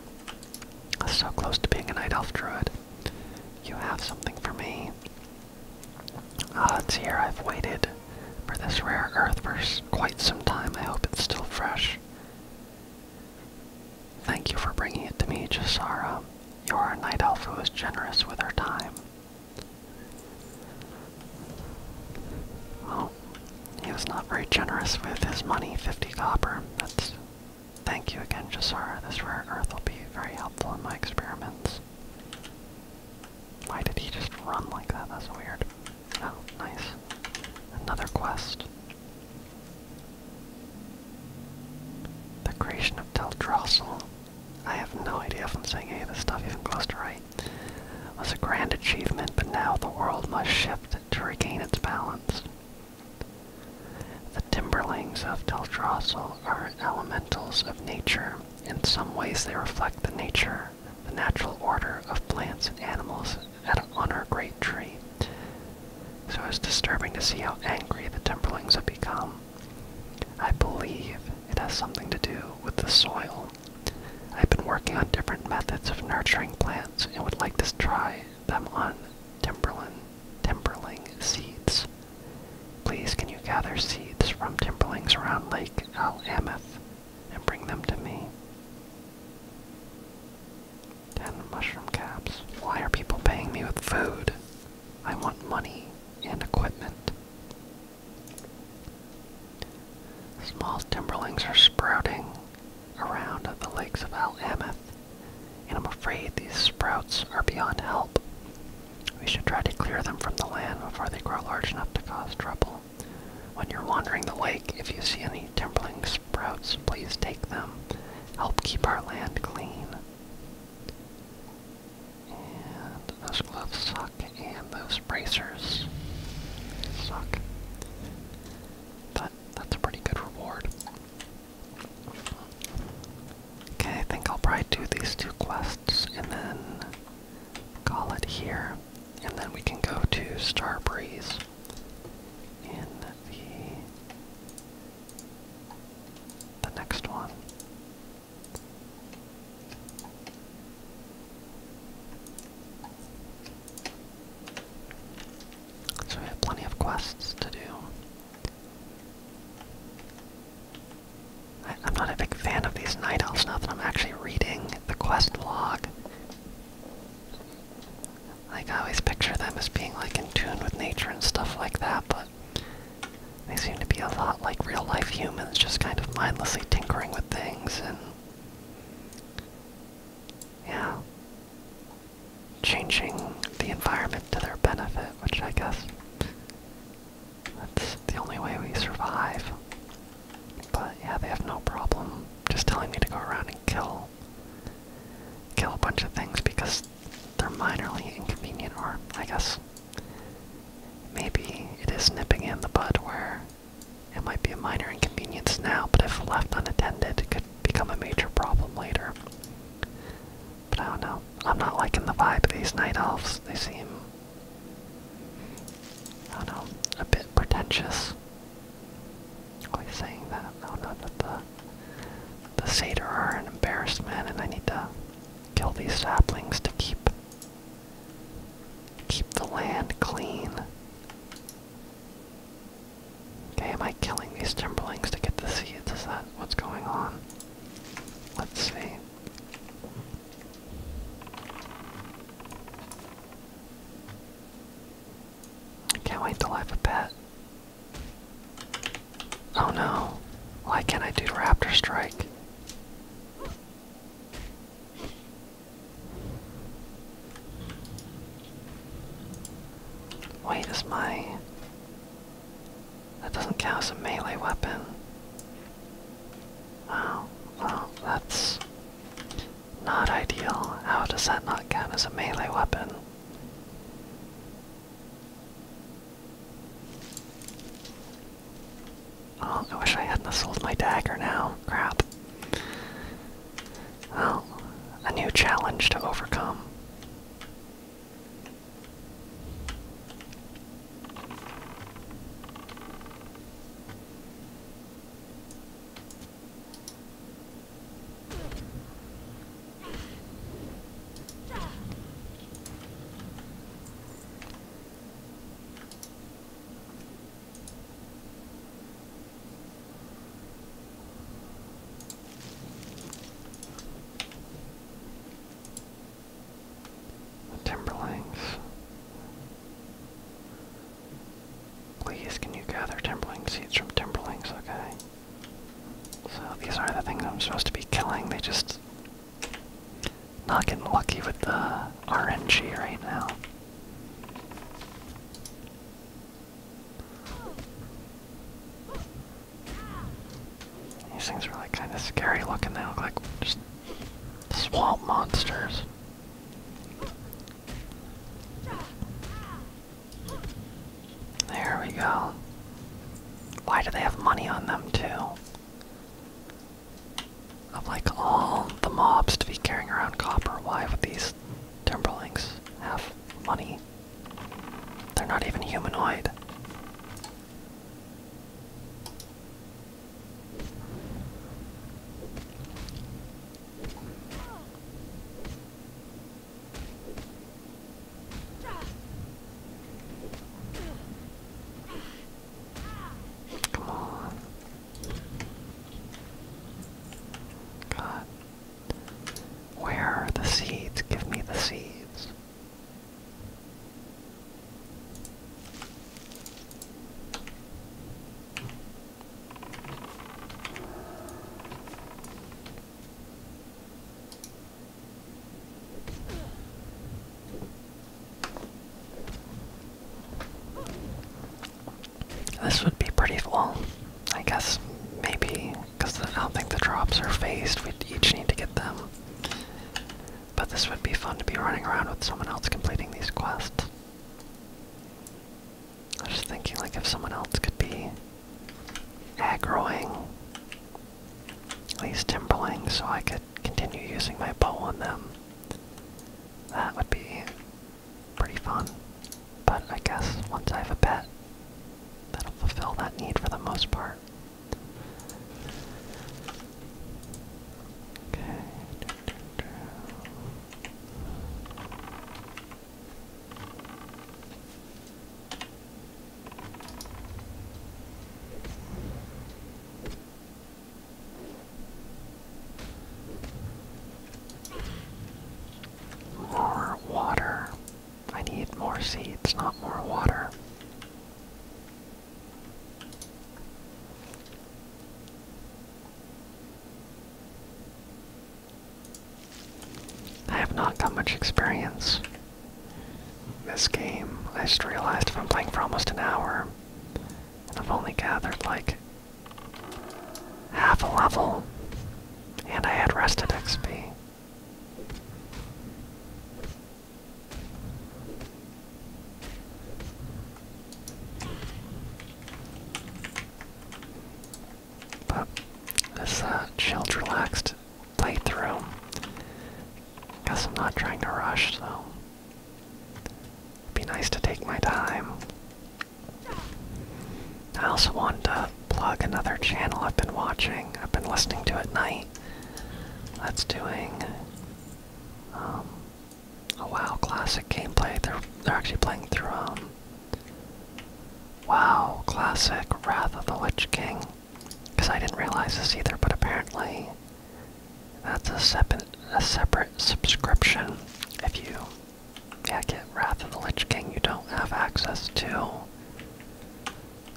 so close to being a night elf druid. You have something for me. Ah, uh, it's here. I've waited for this rare earth for quite some time. I hope it's still fresh. Thank you for bringing it to me, Jasara. You are a night elf who is generous with her time. Well, he was not very generous with his money, 50 copper. That's thank you again, Josara. This rare earth will be very helpful in my experiments. Why did he just run like that? That's weird. Oh, nice. Another quest. The creation of Teldrassil. I have no idea if I'm saying any of this stuff even close to right, was a grand achievement, but now the world must shift to regain its balance. The Timberlings of Teldrassil are elementals of nature. In some ways they reflect the nature, the natural order of plants and animals and our great tree. So it's disturbing to see how angry the Timberlings have become. I believe it has something to do with the soil. I've been working on different methods of nurturing plants and would like to try them on timberland timberling seeds. Please can you gather seeds from timberlings around Lake Al and bring them to me? Ten mushroom caps. Why are people paying me with food? I want money and equipment. Small timberlings are sprouting around the lakes of Al Ameth, and I'm afraid these sprouts are beyond help. We should try to clear them from the land before they grow large enough to cause trouble. When you're wandering the lake, if you see any timberling sprouts, please take them. Help keep our land clean. And those gloves suck, and those bracers suck. But that's a pretty good reward. Okay, I think I'll probably do these two quests and then call it here. And then we can go to Starbreeze in the the next one. So we have plenty of quests to do. I, am not a big fan of these night elves now that I'm actually reading the quest log. Like I always picture them as being like in tune with nature and stuff like that, but they seem to be a lot like real life humans, just kind of mindlessly tinkering with things and. Yeah. Changing the environment to their benefit, which I guess that's the only way we survive. But yeah, they have no problem just telling me to go around and kill kill a bunch of things because they're minorly inconvenient or I guess Maybe it is nipping in the bud where it might be a minor inconvenience now, but if left unattended, it could become a major problem later. But I don't know. I'm not liking the vibe of these night elves. They seem, I don't know, a bit pretentious. Always saying that. I don't that the the satyr are an embarrassed man, and I need to Kill these saplings to keep keep the land clean. Okay, am I killing these timberlings to get the seeds? Is that what's going on? Let's see. can't wait till have a pet. Oh no. Why can't I do Raptor Strike? Wait, is my. That doesn't count as a melee weapon. Wow, oh, well, that's not ideal. How does that not count as a melee weapon? Oh, I wish I hadn't sold my dagger now. Crap. Well, a new challenge to overcome. Timberlings. Please, can you gather Timberling seeds from Timberlings? Okay. So these are the things I'm supposed to be killing. They just not getting lucky with the RNG right now. These things are like kind of scary looking. They look like just swamp monsters. There we go. Why do they have money on them too? of like all the mobs to be carrying around copper. Why would these Timberlings have money? They're not even humanoid. Come on. God. Where are the seeds? Give me the seeds. This would be pretty well, I guess maybe because I don't think the drops are phased. We'd each need to get them. But this would be fun to be running around with someone else completing these quests. I was just thinking, like, if someone else could be aggroing, at least timberling, so I could continue using my bow on them. That would be pretty fun. But I guess once I have a pet, that'll fulfill that need for the most part. Okay. More water. I need more seeds, not more water. I have not got much experience this game, I just realized i am playing for almost an hour, and I've only gathered like half a level, and I had rested XP. But this uh, chilled, relaxed playthrough. Guess I'm not trying to rush, though be nice to take my time. I also wanted to plug another channel I've been watching, I've been listening to at night. That's doing um, a WoW Classic gameplay. They're, they're actually playing through um, WoW Classic Wrath of the Lich King. Because I didn't realize this either, but apparently that's a separate, a separate subscription. If you yeah, get Wrath of the Lich King, you don't have access to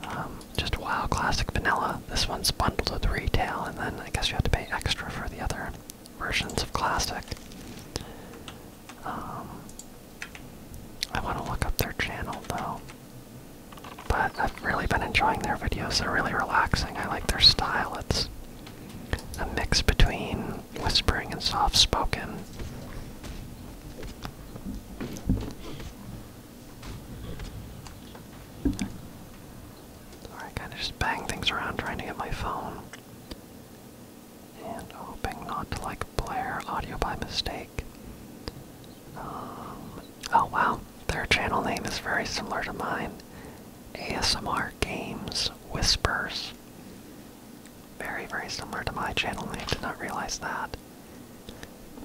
um, just WoW Classic Vanilla. This one's bundled with retail, and then I guess you have to pay extra for the other versions of Classic. Um, I want to look up their channel though. But I've really been enjoying their videos. They're really relaxing. I like their style. It's a mix between whispering and soft spoken. Sorry, I kind of just bang things around trying to get my phone. And hoping not to like blare audio by mistake. Um, oh wow, their channel name is very similar to mine ASMR Games Whispers. Very, very similar to my channel name. Did not realize that.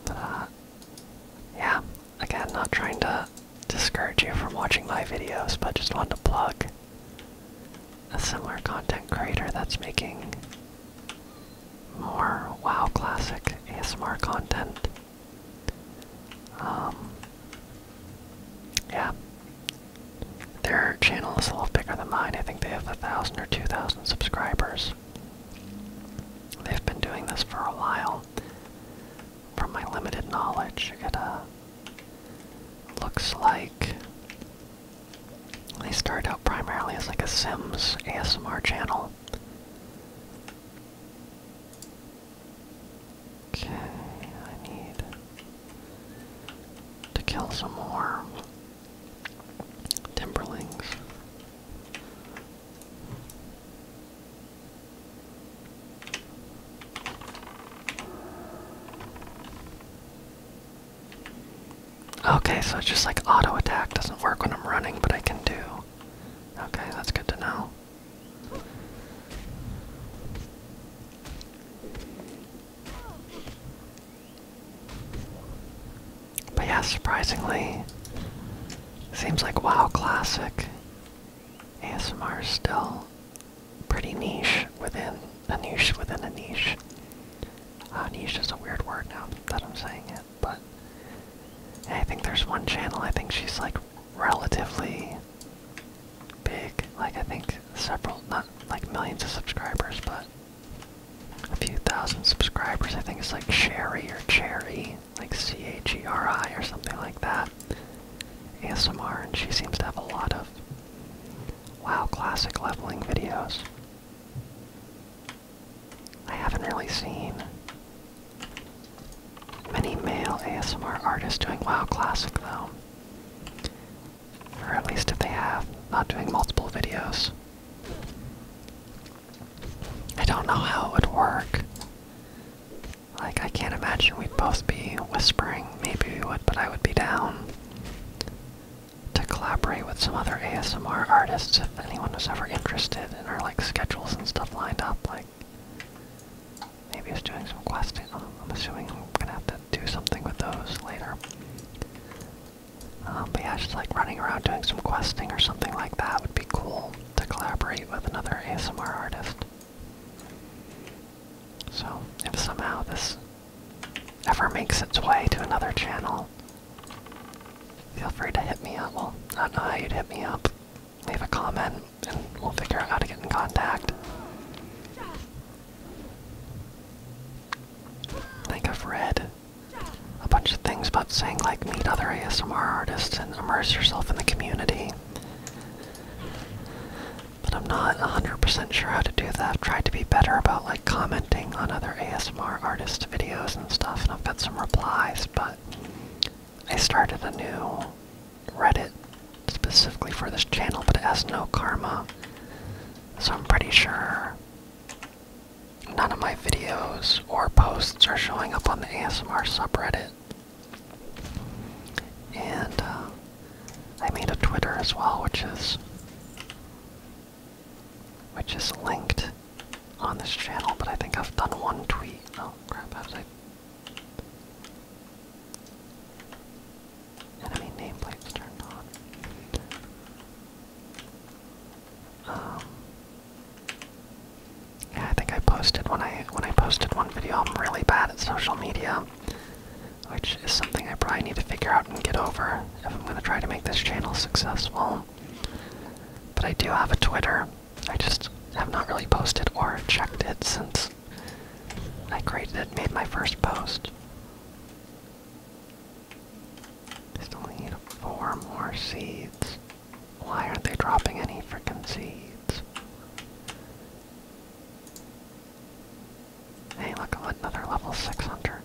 But, uh, yeah. Again, not trying to discourage you from watching my videos, but just wanted to plug a similar content creator that's making more WoW Classic ASMR content. Um, yeah. Their channel is a little bigger than mine. I think they have a thousand or two thousand subscribers. They've been doing this for a while. From my limited knowledge, it uh, looks like they started out primarily as like a Sims ASMR channel. Okay, I need to kill some more timberlings. Okay, so it's just like auto attack doesn't work when I'm running, but I can do. Okay, that's good to know. But yeah, surprisingly, seems like WoW Classic ASMR is still pretty niche within a niche within a niche. Uh, niche is a weird word now that I'm saying it, but I think there's one channel, I think she's like relatively big. Like I think several, not like millions of subscribers, but a few thousand subscribers. I think it's like Sherry or Cherry, like C-H-E-R-I or something like that. ASMR, and she seems to have a lot of WoW Classic leveling videos. I haven't really seen Many male ASMR artists doing well, Classic though. Or at least if they have, not doing multiple videos. I don't know how it would work. Like, I can't imagine we'd both be whispering. Maybe would, but I would be down to collaborate with some other ASMR artists if anyone was ever interested in our like schedules and stuff lined up. Like, maybe it's doing some questing. Oh, I'm assuming I'm gonna have to do something with those later. Um, but yeah, just like running around doing some questing or something like that would be cool to collaborate with another ASMR artist. So, if somehow this ever makes its way to another channel, feel free to hit me up. Well, I don't know how you'd hit me up leave a comment, and we'll figure out how to get in contact. I think I've read a bunch of things about saying, like, meet other ASMR artists and immerse yourself in the community. But I'm not 100% sure how to do that. I've tried to be better about, like, commenting on other ASMR artist videos and stuff, and I've got some replies, but I started a new Reddit specifically for this channel, but it has no karma. So I'm pretty sure none of my videos or posts are showing up on the ASMR subreddit. And uh, I made a Twitter as well, which is which is linked on this channel, but I think I've done one tweet. Oh crap, how did Enemy nameplates turned um, on. yeah, I think I posted when I when I posted one video. I'm really bad at social media, which is something I probably need to figure out and get over if I'm gonna try to make this channel successful. But I do have a Twitter. I just have not really posted or checked it since I created it, made my first post. I still need four more seeds. Why aren't they dropping any freaking seeds? Hey, look, another level 6 hunter.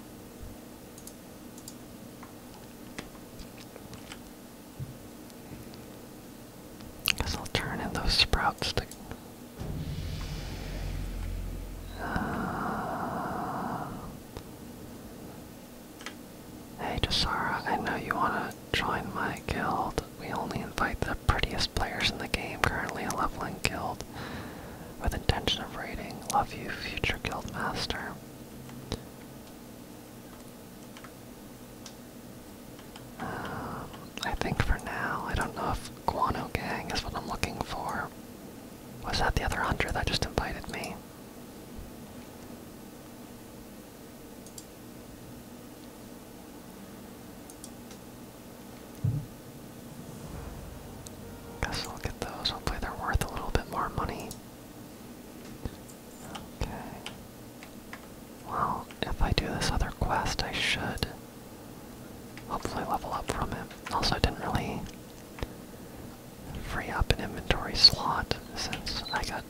Guess I'll turn in those sprouts uh, hey, Jasara, I know you want to join my guild. We only invite the prettiest players in the game, currently a leveling guild, with intention of raiding. Love you, future guild master. Um, I think for now, I don't know if Guano Gang is what I'm looking for. Was that the other hunter that just invited me? Guess I'll get those. Hopefully, they're worth a little bit more money. Okay. Well, if I do this other quest, I should hopefully level up from it. Also, I didn't really free up an inventory slot since I got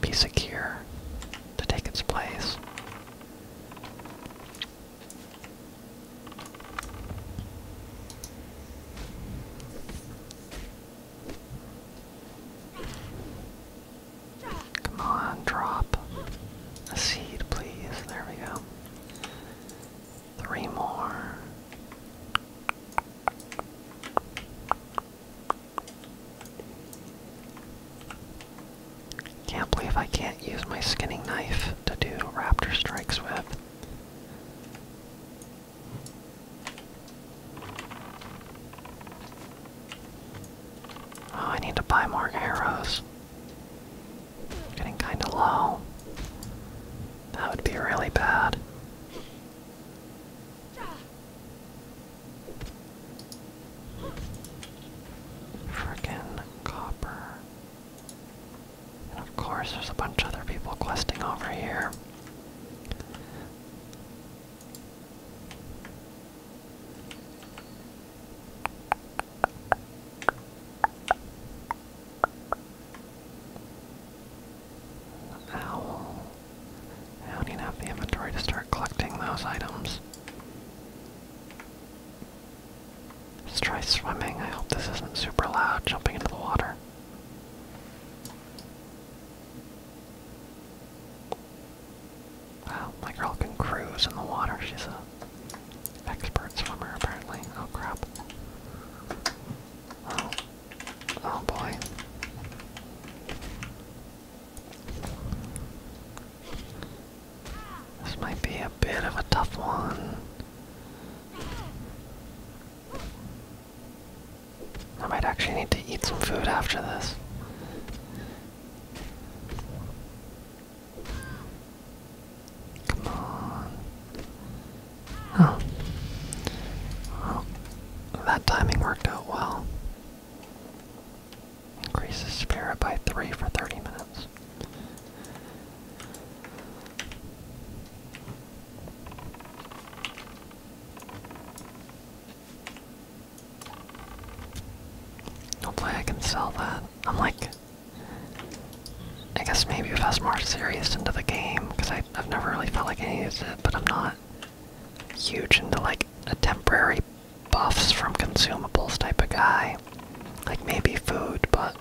be secure to take its place. Come on, drop a seed, please. There we go. Three more. Can't believe I can't use my skinning knife to do raptor strikes with. Oh, I need to buy more arrows. Getting kinda low. That would be really bad. Frickin' copper. And of course, there's a bunch of other people questing over here. Owl. I don't even have the inventory to start collecting those items. Let's try swimming. I hope this isn't super loud jumping into the water. Wow, my girl can cruise in the water. She's a expert swimmer, apparently. Oh crap. Oh. Oh boy. This might be a bit of a tough one. I might actually need to eat some food after this. Come on. Oh. that timing worked out well. Increases spirit by three for 30 minutes. Hopefully I can sell that. I'm like, I guess maybe if I was more serious into the game, because I've never really felt like I use it, but I'm not huge into like a temporary buffs from consumables type of guy. Like maybe food, but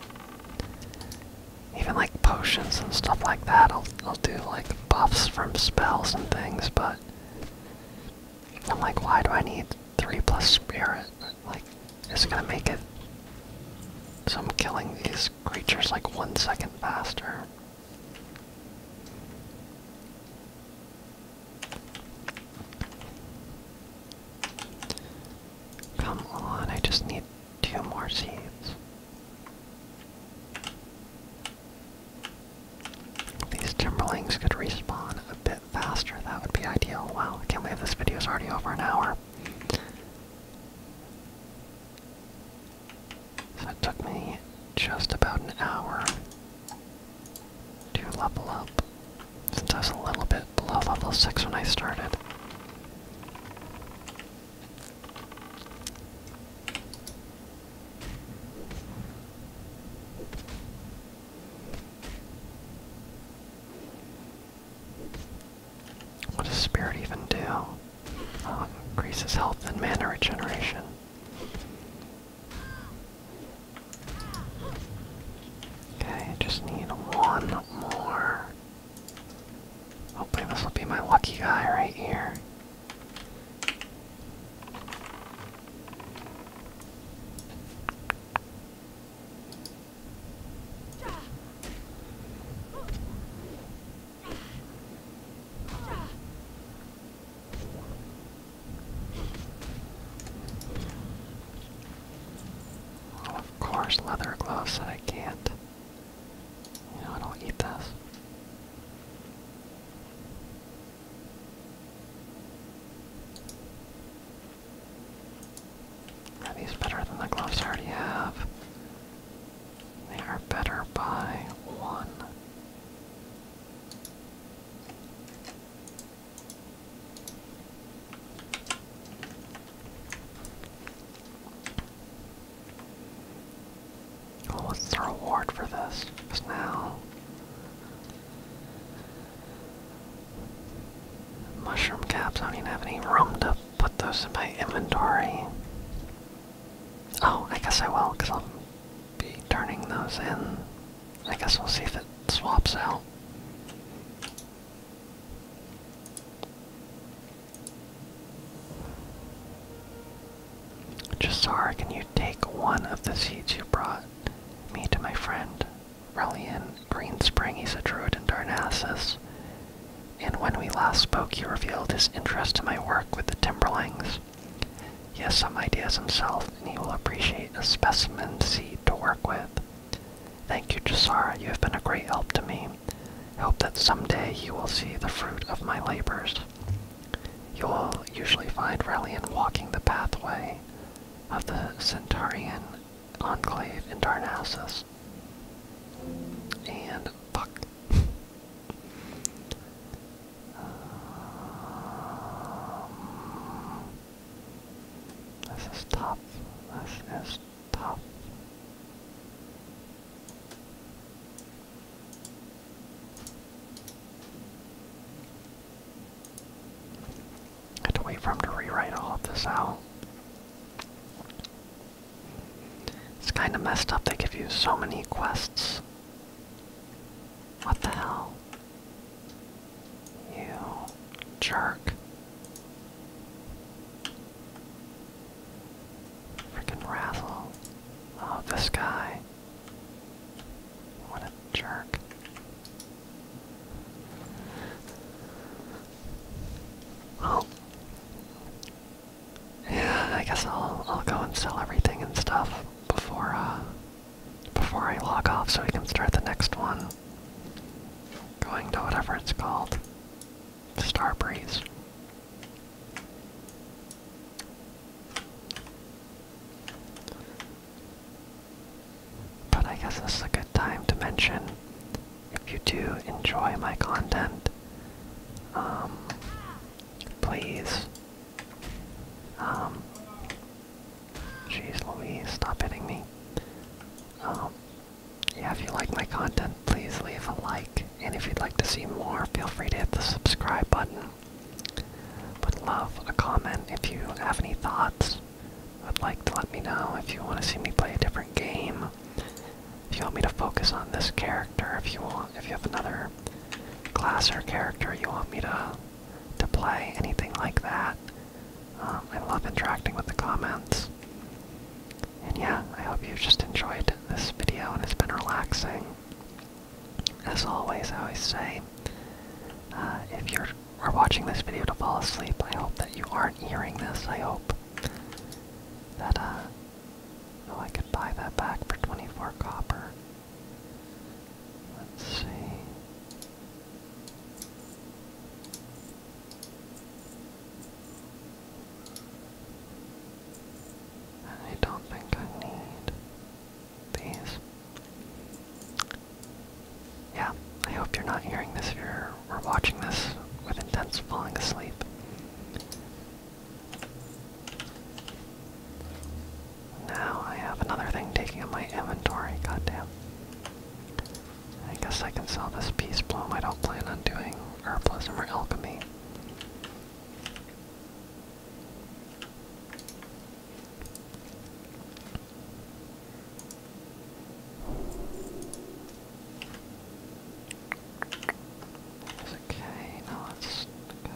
even like potions and stuff like that, I'll, I'll do like buffs from spells and things, but I'm like, why do I need 3 plus spirit? Like, it's gonna make it so I'm killing these creatures like one second faster. Come on, I just need two more seeds. These Timberlings could respawn a bit faster. That would be ideal. Wow, I can't believe this video is already over an hour. So it took me just about an hour to level up, since I was a little bit below level 6 when I started. What does spirit even do? Uh, increases health and mana regeneration. Okay, just need one more. Hopefully this will be my lucky guy right here. Oh, of course, leather gloves that I can't. You know, I don't eat this. Are better than the gloves I already have? They are better by one. what's the reward for this? now Mushroom caps, I don't even have any room to put those in my inventory. Oh, I guess I will, because I'll be turning those in. I guess we'll see if it swaps out. Just so I can take one of the seeds you brought me to my friend Relian Spring. He's a druid in Darnassus. And when we last spoke, he revealed his interest in my work with the Timberlings. He has some ideas himself, and he will appreciate a specimen seed to work with. Thank you, Jasara. You have been a great help to me. hope that someday you will see the fruit of my labors. You will usually find Relian walking the pathway of the Centaurian enclave in Darnassus. And this is tough. This is tough. I had to wait for him to rewrite all of this out. It's kind of messed up, they give you so many quests. What the hell? You jerk. Freaking Razzle. Oh, this guy. What a jerk. Well, yeah, I guess I'll I'll go and sell everything and stuff before uh before I log off so we can start the next one. Going to whatever it's called. Starbreeze. But I guess this is a good time to mention if you do enjoy my content, um, please, um, jeez Louise, stop hitting me. Um, yeah, if you like my content, please leave a like, and if you'd like to see more, feel free to hit the subscribe button. Would love a comment if you have any thoughts would like to let me know if you want to see me play a different game. If you want me to focus on this character, if you want, if you have another class or character you want me to to play, anything like that. Um, I love interacting with the comments. And yeah, I hope you've just enjoyed this video and it's been relaxing. As always, I always say, uh, if you're are watching this video to fall asleep, I hope that you aren't hearing this. I hope that, uh, oh, I could buy that back for 24 copper. Let's see. I don't think I need these. Yeah, I hope you're not hearing this if you're watching this with intent of falling asleep. Now I have another thing taking up my inventory, goddamn. I guess I can sell this peace bloom. I don't plan on doing herbalism or alchemy okay, no, it's okay.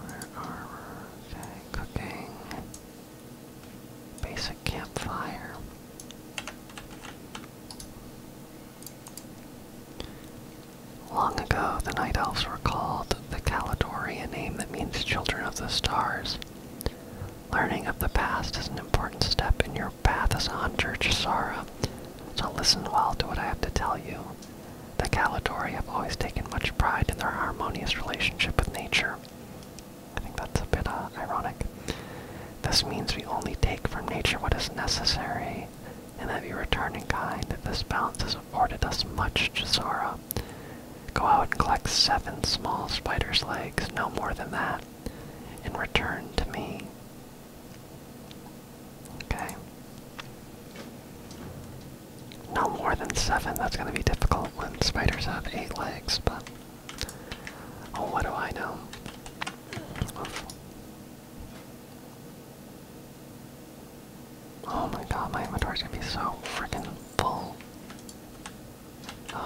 Where are Okay, cooking. Basic campfire. Long ago, the Night Elves were called the calidori a name that means children of the stars. Learning of the past is an important step in your path as a hunter, Chisara, so listen well to what I have to tell you. The Calidori have always taken much pride in their harmonious relationship with nature. I think that's a bit uh, ironic. This means we only take from nature what is necessary, and that we return in kind. This balance has afforded us much, Chisara. Go out and collect seven small spider's legs, no more than that, and return to me. Okay. No more than seven, that's gonna be difficult when spiders have eight legs, but. Oh, what do I know? Oh my god, my inventory's gonna be so freaking full. Okay.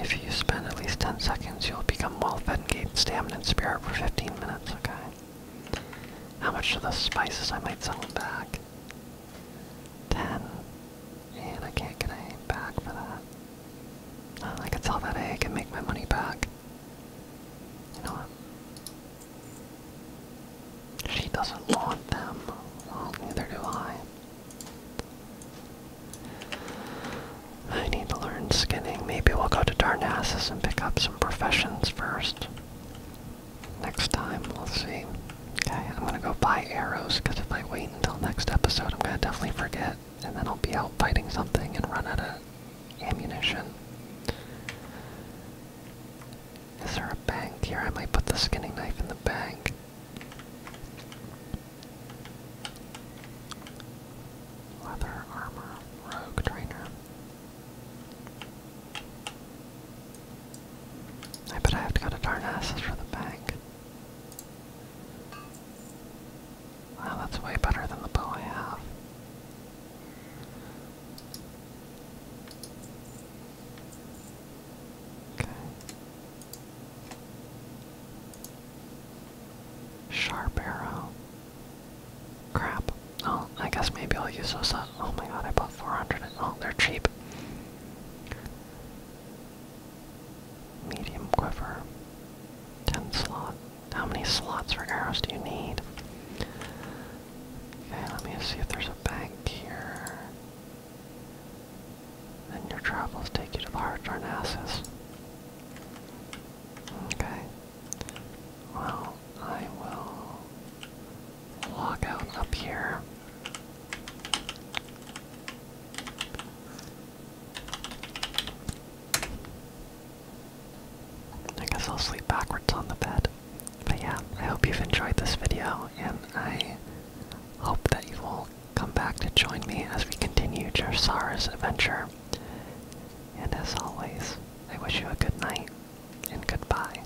if you spend at least 10 seconds, you'll become well fed and gain stamina and spirit for 15 minutes, okay? How much of the spices I might sell back? Ten. And I can't get my back for that. Oh, I could sell that egg and make my money back. You know what? She doesn't want them. neither do I. I need to learn skinning. Maybe we'll go to Darnassus and pick up some professions first. Next time, we'll see. Okay, I'm gonna go buy arrows, because if I wait until next episode, I'm gonna definitely forget, and then I'll be out fighting something and run out of ammunition. Is there a bank here? I might put the skinning knife in the bank. Leather armor, rogue trainer. I bet I have to go to Darnassus for the bank. Wow, that's way better than the bow I have. Okay. Sharp arrow. Crap. Oh, I guess maybe I'll use those. Uh, oh my god, I bought 400. And, oh, they're cheap. Medium quiver. 10 slot. How many slots for arrows do you need? Okay, let me see if there's a bank here. Then your travels take you to the Heart Darnassus. Okay. Well, I will log out up here. I guess I'll sleep backwards on the bed. But yeah, I hope you've enjoyed this video, and I hope that you will come back to join me as we continue Jarsara's adventure. And as always, I wish you a good night and goodbye.